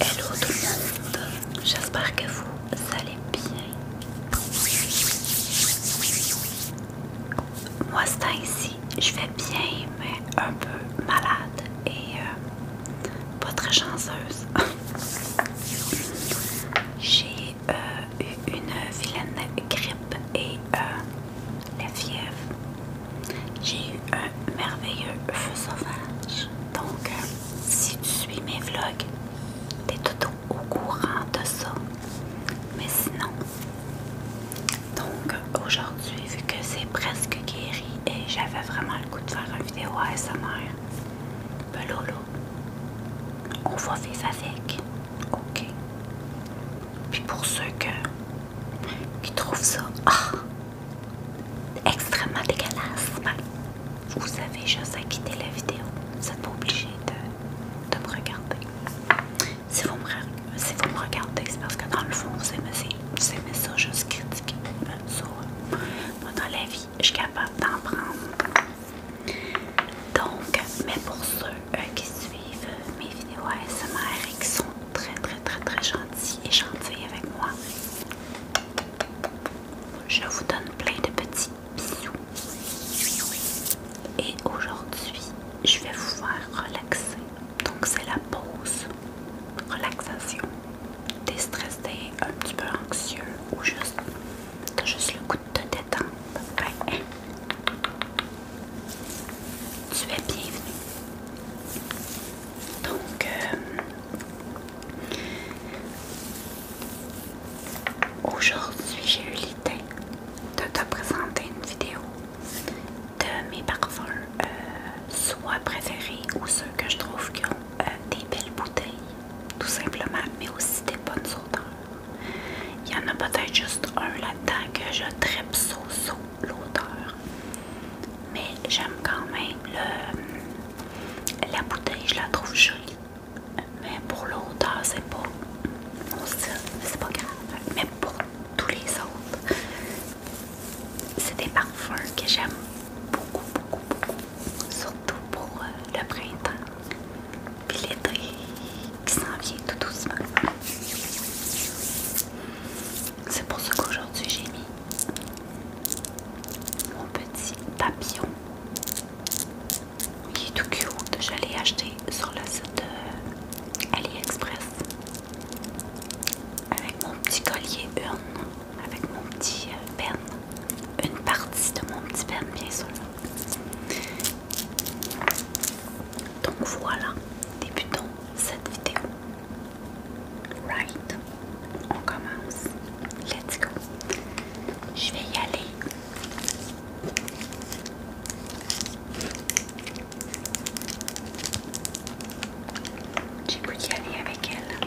Hello tout le monde, j'espère que vous allez bien. Moi ce temps ici, je vais bien mais un peu malade et euh, pas très chanceuse. J'ai euh, eu une vilaine grippe et euh, la fièvre. J'ai eu un merveilleux feu sauvage. Donc, euh, si tu suis mes vlogs, t'es tout au courant de ça. Mais sinon, donc aujourd'hui, vu que c'est presque guéri et j'avais vraiment le goût de faire une vidéo à sa mère, ben on va ça avec. Ok. Puis pour ceux que qui trouve ça ah! extrêmement dégueulasse, vous avez juste à quitter la vidéo. Vous n'êtes pas obligé de, me regarder. Si vous me, regardez, c'est parce que dans le fond, vous aimez, ça juste critiquer. Ben, ça, moi, euh, dans la vie, je suis capable d'en prendre. Donc, mais pour ceux euh, qui suivent mes vidéos ASMR et qui sont très très très très gentil et gentil avec moi. Je vous donne plein de petits bisous. Et aujourd'hui, je vais vous faire relaxer. Donc c'est la pause. Relaxation. Déstressé, un petit peu anxieux ou juste... T'as juste le goût de te détendre tu es bienvenue. Donc, euh, aujourd'hui, j'ai eu l'idée de te présenter une vidéo de mes parfums, euh, soit préférés ou ceux que je trouve qui ont euh, des belles bouteilles, tout simplement, mais aussi des bonnes odeurs. Il y en a peut-être juste un là-dedans que je tripe so, so l'odeur. Mais j'aime quand même le, la bouteille, je la trouve jolie. Mais pour l'odeur, c'est pas mon style, c'est pas grave. Mais pour tous les autres, c'est des parfums que j'aime beaucoup, beaucoup, beaucoup. Surtout pour euh, le printemps. Puis l'été qui s'en vient tout doucement. C'est pour ça qu'aujourd'hui j'ai mis mon petit papillon. qui est tout cute. j'allais acheter sur le site AliExpress. Avec mon petit collier urne. Avec mon petit euh, pen. Une partie de mon petit pen bien sûr. Donc voilà, débutant cette vidéo. Right? On commence. Let's go. Je vais y aller. J'ai goût y aller avec elle.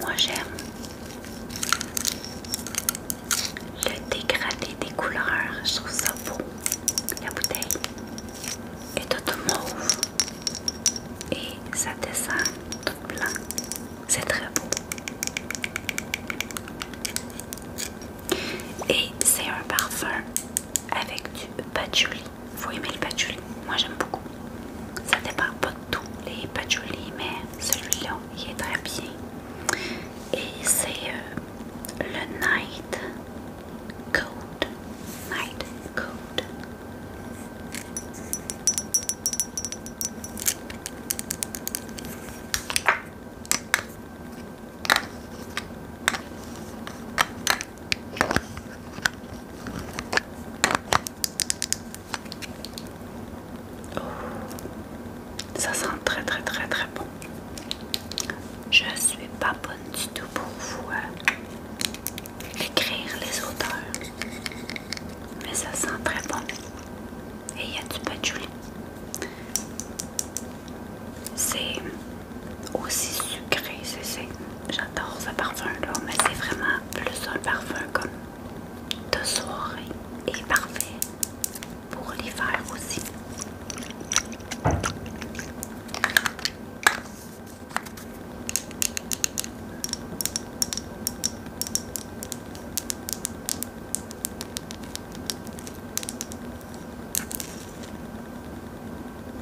Moi j'aime le dégradé des couleurs, je trouve ça beau. La bouteille est toute mauve et ça descend tout blanc. C'est très beau. Et c'est un parfum avec du patchouli. Faut aimer le patchouli. Moi j'aime beaucoup. Ça dépend pas tous les patchouli, mais celui-là, il est très bien. Et c'est euh, le Night Code. Night Code. Oh. ça sent très très très très bon. Je suis pas bonne du tout pour vous hein. écrire les auteurs, mais ça sent très bon. Et il y a du patchouli. C'est aussi sucré, j'adore ce parfum là, mais c'est vraiment plus un parfum comme de soirée est parfait pour les faire aussi.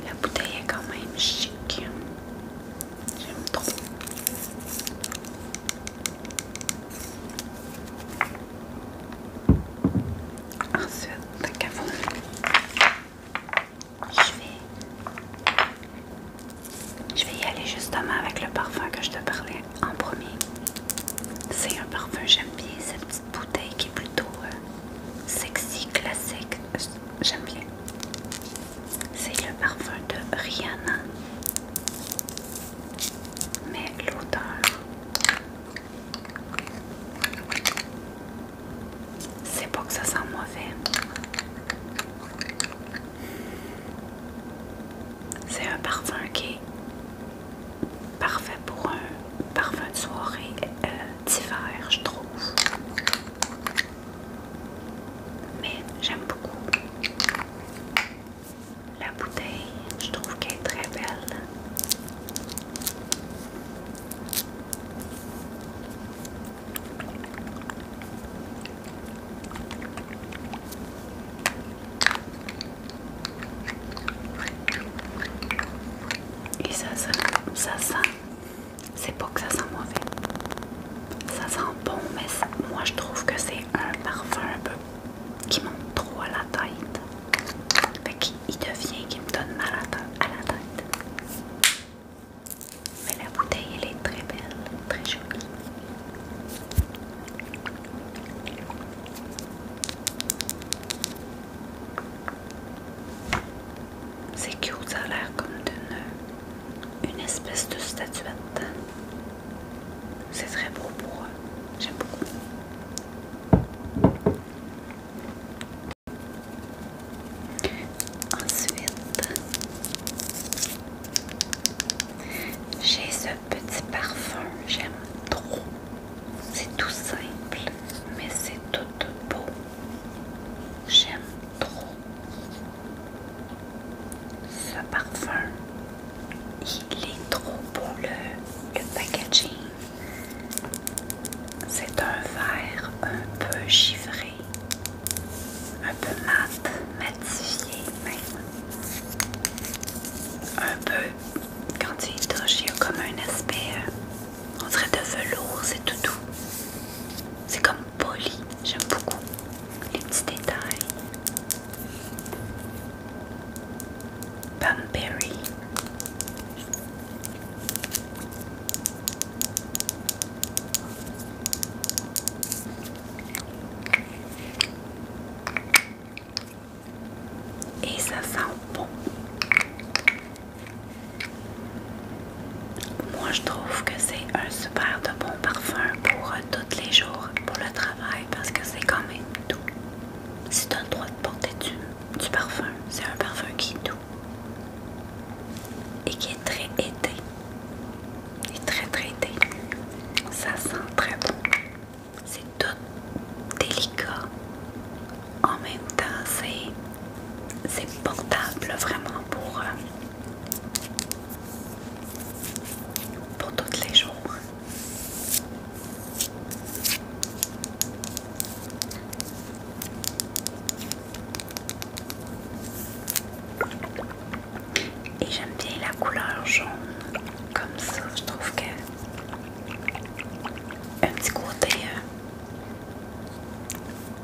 La bouteille est quand même chic. J'aime trop. Ensuite, je vais, y aller justement avec le parfum que je te parlais en premier. C'est un parfum, j'aime bien cette petite bouteille qui est plutôt euh, sexy, classique. J'aime bien. C'est le parfum de Rihanna. Mais l'odeur, c'est pas que ça sent mauvais. C'est un parfum qui est parfait pour un parfum de soirée euh, d'hiver, je trouve mais j'aime beaucoup. La bouteille, je trouve qu'elle est très belle. Et ça ça, ça sent, c'est pas que ça sent mauvais, ça sent bon, mais moi je trouve que c'est un parfum un peu qui monte trop à la tête. Fait qu'il devient qui me donne mal à, la tête. Mais la bouteille, elle est très belle, très jolie. C'est cute, ça a l'air comme une espèce de statuette. C'est très beau pour eux. J'aime beaucoup. Ensuite, j'ai ce petit parfum. J'aime trop. C'est tout simple, mais c'est tout beau. J'aime trop. Ce parfum, il est trop beau le, packaging. C'est un verre un peu givré, un peu mat, matifié même. Un peu, quand tu y touches, il y a comme un aspect, euh, on dirait de velours, c'est tout doux. C'est comme poli. J'aime beaucoup les petits détails. Et ça sent bon. Moi, je trouve que c'est un super de bon parfum pour euh, tous les jours pour le travail parce que c'est quand même doux. C'est un droit de porter du, parfum, c'est un parfum qui est doux et qui est très été. Il très très été. Ça sent très bon. C'est tout délicat. En même temps, c'est portable vraiment pour, euh, pour tous les jours. Et j'aime bien la couleur jaune comme ça, je trouve que un petit côté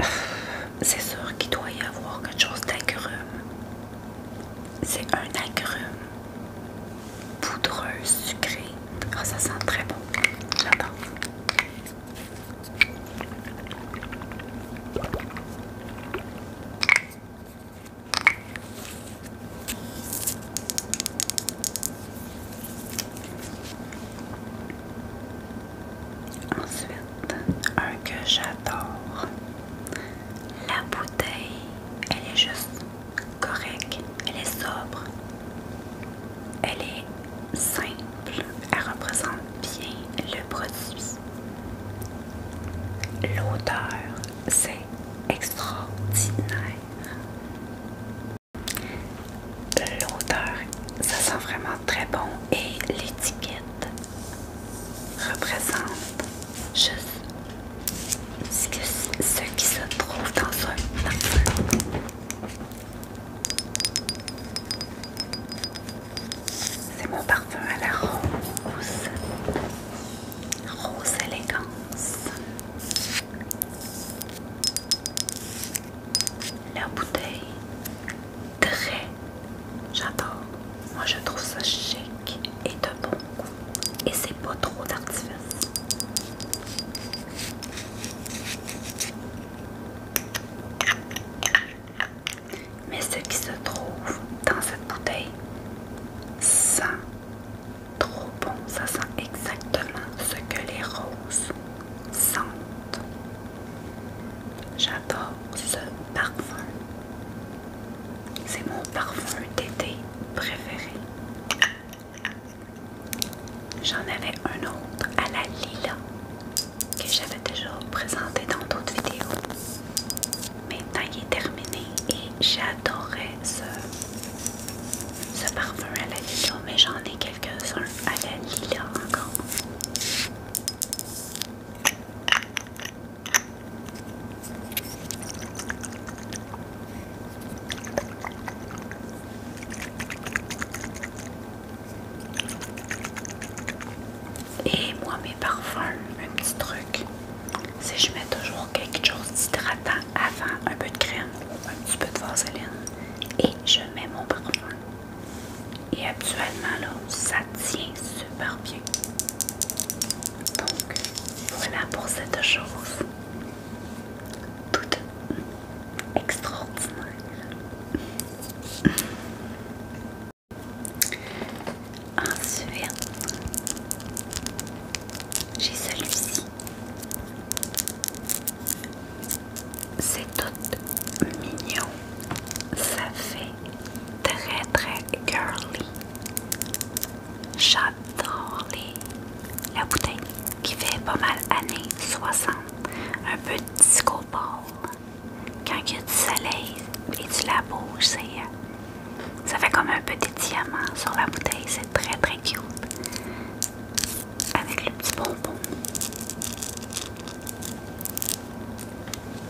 euh, c'est sûr qu'il doit y avoir quelque chose d'agréable. C'est un agrume poudreux, sucré. Ah, ça sent très bon. J'adore. Ensuite, un que j'adore, la bouteille, elle est juste correcte, elle est sobre, elle est simple, elle représente bien le produit. L'odeur, c'est extraordinaire. L'odeur, ça sent vraiment très bon et l'étiquette représente juste ce, qui se trouve dans un parfum C'est mon parfum à la rose. Rose élégance. La bouteille très J'adore. Moi, je trouve ça chic et de bon goût. Et c'est pas trop d'artifice. Mais ce qui se trouve dans cette bouteille sent trop bon. Ça sent exactement ce que les roses sentent. J'adore ce parfum. C'est mon parfum d'été préféré. J'en avais un autre à la lila que j'avais déjà présenté dans d'autres vidéos. Maintenant il est terminé et j'adorais ce, ce parfum à la lila, mais j'en ai quelques-uns à la lila encore. Et moi, mes parfums, un petit truc, c'est que je mets toujours quelque chose d'hydratant avant, un peu de crème un petit peu de vaseline, et je mets mon parfum. Et actuellement, là, ça tient sur barbier. Donc voilà pour cette chose toute extraordinaire. Ensuite, j'ai celui-ci. C'est tout mignon. Ça fait très très girly. J'adore les, la bouteille qui fait pas mal années 60. Un peu de disco Quand il y a du soleil et tu la ça fait comme un petit diamant sur la bouteille. C'est très très cute. Avec le petit bonbon.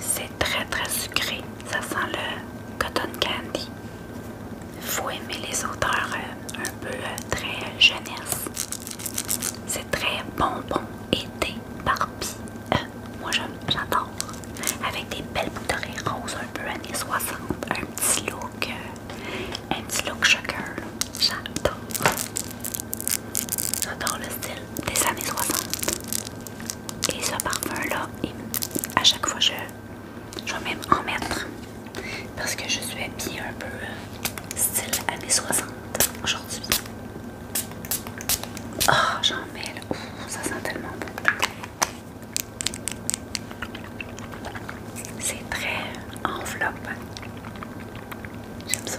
C'est très très sucré. Ça sent le cotton candy. Faut aimer les odeurs euh, un peu euh, très euh, jeunesse. C'est très bonbon été barbi. Moi moi j'adore. Avec des belles bouteilles roses un peu années 60. Un petit look. un petit look sugar. J'adore. J'adore le style des années 60. Et ce parfum-là, à chaque fois, je, vais même en mettre parce que je suis habillée un peu euh, style années 60 aujourd'hui. Oh, j'en mets ça sent tellement bon. C'est très enveloppe. J'aime ça.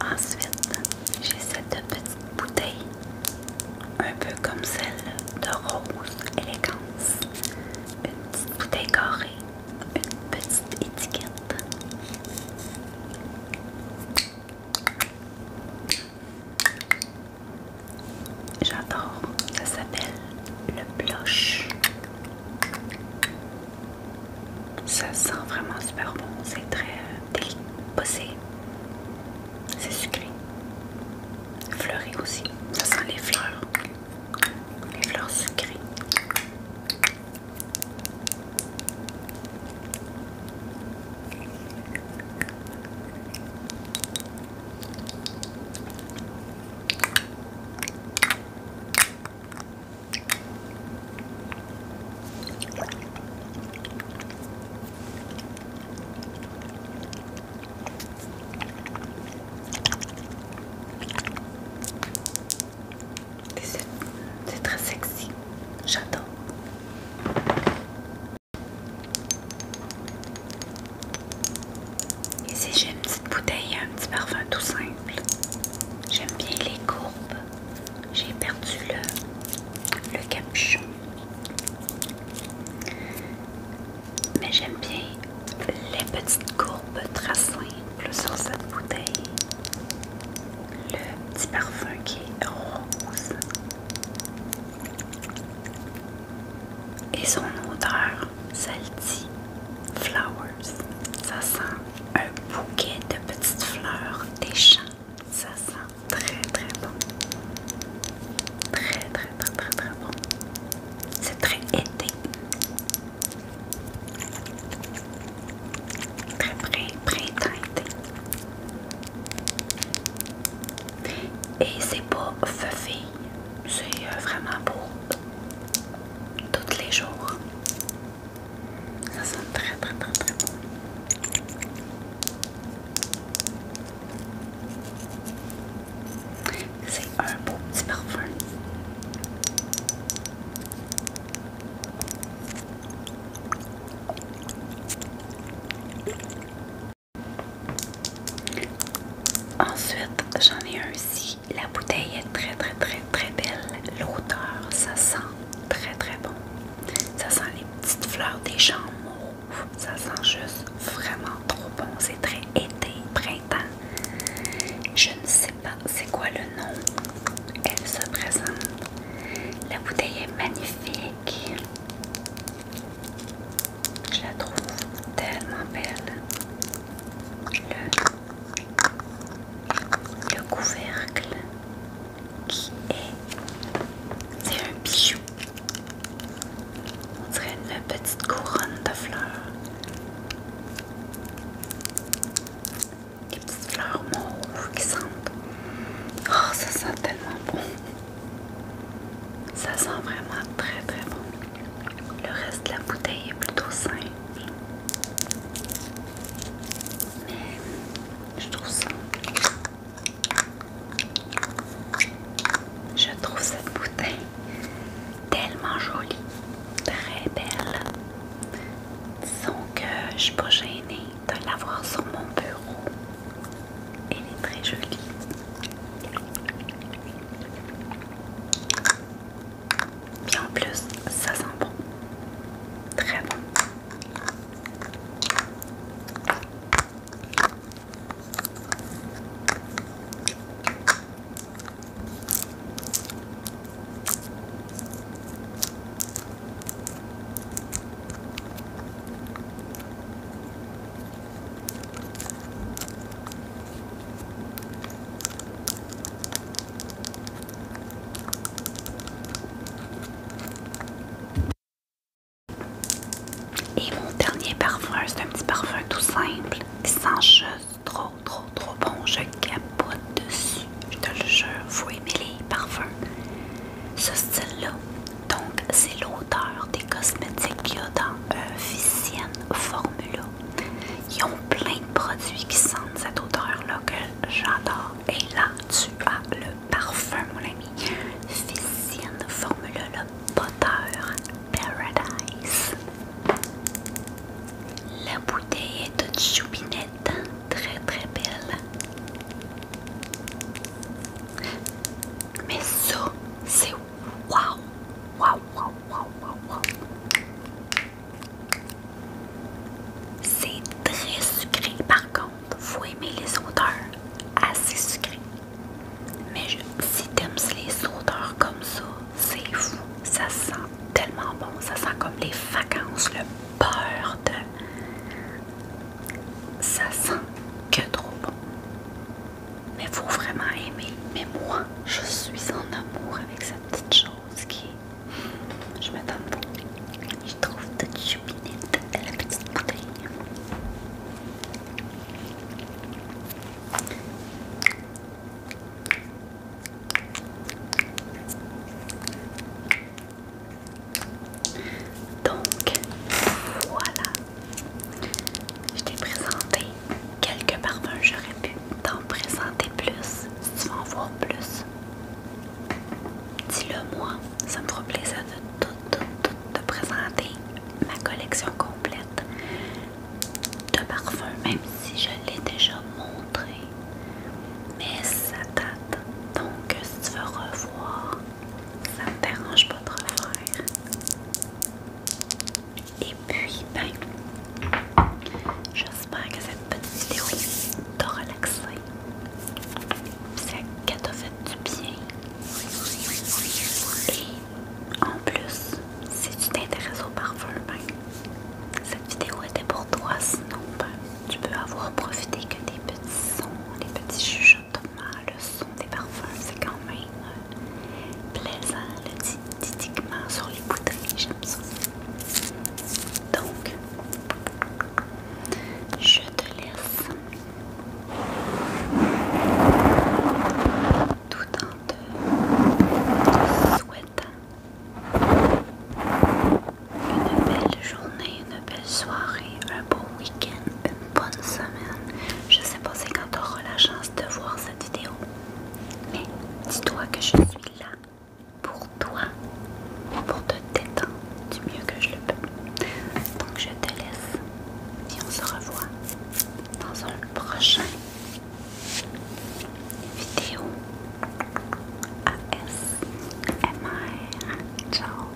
Ensuite, j'ai cette petite bouteille, un peu comme celle de Rose Élégance. Une petite bouteille carrée, une petite étiquette. J'adore. Ça s'appelle le blush. Ça sent vraiment super bon. C'est très euh, délicat. C'est sucré. Fleuri aussi. Ça sent les fleurs. Les fleurs sucrées. C'est très sexy, J'attends. Ici, j'ai une petite bouteille, un petit parfum tout simple. J'aime bien les courbes. J'ai perdu le, capuchon. Mais j'aime bien les petites courbes très simples sur cette bouteille. Le petit parfum qui est rose. Et son odeur, salty flowers, ça sent un bouquet de petites fleurs des champs. Ça sent très très bon. Très très très très très bon. C'est très été. Très très très été. Et c'est pas feuille, c'est euh, vraiment beau tous les jours. Ça sent très très très très bon. C'est un beau petit parfum. Ensuite, j'en ai un ici. La bouteille est très très très très belle. L'odeur, ça sent très très bon. Ça sent les petites fleurs des jambes. Ça sent juste vraiment trop bon. C'est très été, printemps. Je ne sais pas c'est quoi le nom. Elle se présente. La bouteille est magnifique. Je la trouve tellement belle. Le, couvercle qui est, c'est un bijou. On dirait une petite couronne de fleurs. Des petites fleurs mauves qui sentent. Oh, ça sent tellement bon. Ça sent vraiment très très bon. Le reste de la bouteille est plutôt simple. Mais je trouve ça. Je trouve cette bouteille tellement jolie, très belle. Disons que je suis pas gênée de l'avoir sur mon bureau. Elle est très jolie. Et en plus, ça sent bon. Très bon. Et mon dernier parfum, c'est un petit parfum tout simple qui sent juste trop, trop, trop bon. Je capote dessus. Je te le jure, vous aimez les parfums ce style-là. Donc, c'est l'odeur des cosmétiques qu'il y a dans un Formula. Ils ont plein de produits qui sentent cette odeur-là que j'adore. Et là, tu as le parfum, mon ami. Ficienne Formula, le Potter Paradise. La bouteille est toute choupinette, très très belle. Mais ça, c'est wow! Wow, C'est très sucré par contre. Vous aimez les odeurs assez sucrées. Mais je, si t'aimes les odeurs comme ça, c'est fou. Ça sent tellement bon. Ça sent comme les vacances, le beurre de ça sent que trop bon. Mais faut vraiment aimer. Mais moi, je suis en amour avec cette petite chose qui Je m'attends. Je trouve toute chupinette la petite bouteille. Donc, voilà. Je t'ai présenté quelques parfums. J'aurais pu t'en présenter plus si tu veux en voir plus. Dis-le moi, ça me fera plaisir de tout, tout, tout te présenter ma collection complète de parfums, même si je l'ai déjà montré. Mais ça date. Donc, si tu veux revoir ça ne dérange pas de refaire. Et puis, ben, j'espère que cette petite vidéo t'a relaxé. Ça t'a fait du bien. Et en plus, si tu t'intéresses au parfum, ben, cette vidéo était pour toi. Sinon, ben, tu peux avoir profité que des petits sons, des petits chuchotements ah, le son des parfums, c'est quand même euh, plaisant, didiquement sur les bouteilles, j'aime ça. Donc, je te laisse tout en te souhaitant une belle journée, une belle soirée, un beau week-end, bonne semaine. Je sais pas si quand tu auras la chance de voir cette vidéo, mais dis-toi que je suis là pour toi, pour te détendre du mieux que je le peux. Donc je te laisse et on se revoit dans un prochain vidéo ASMR. Ciao!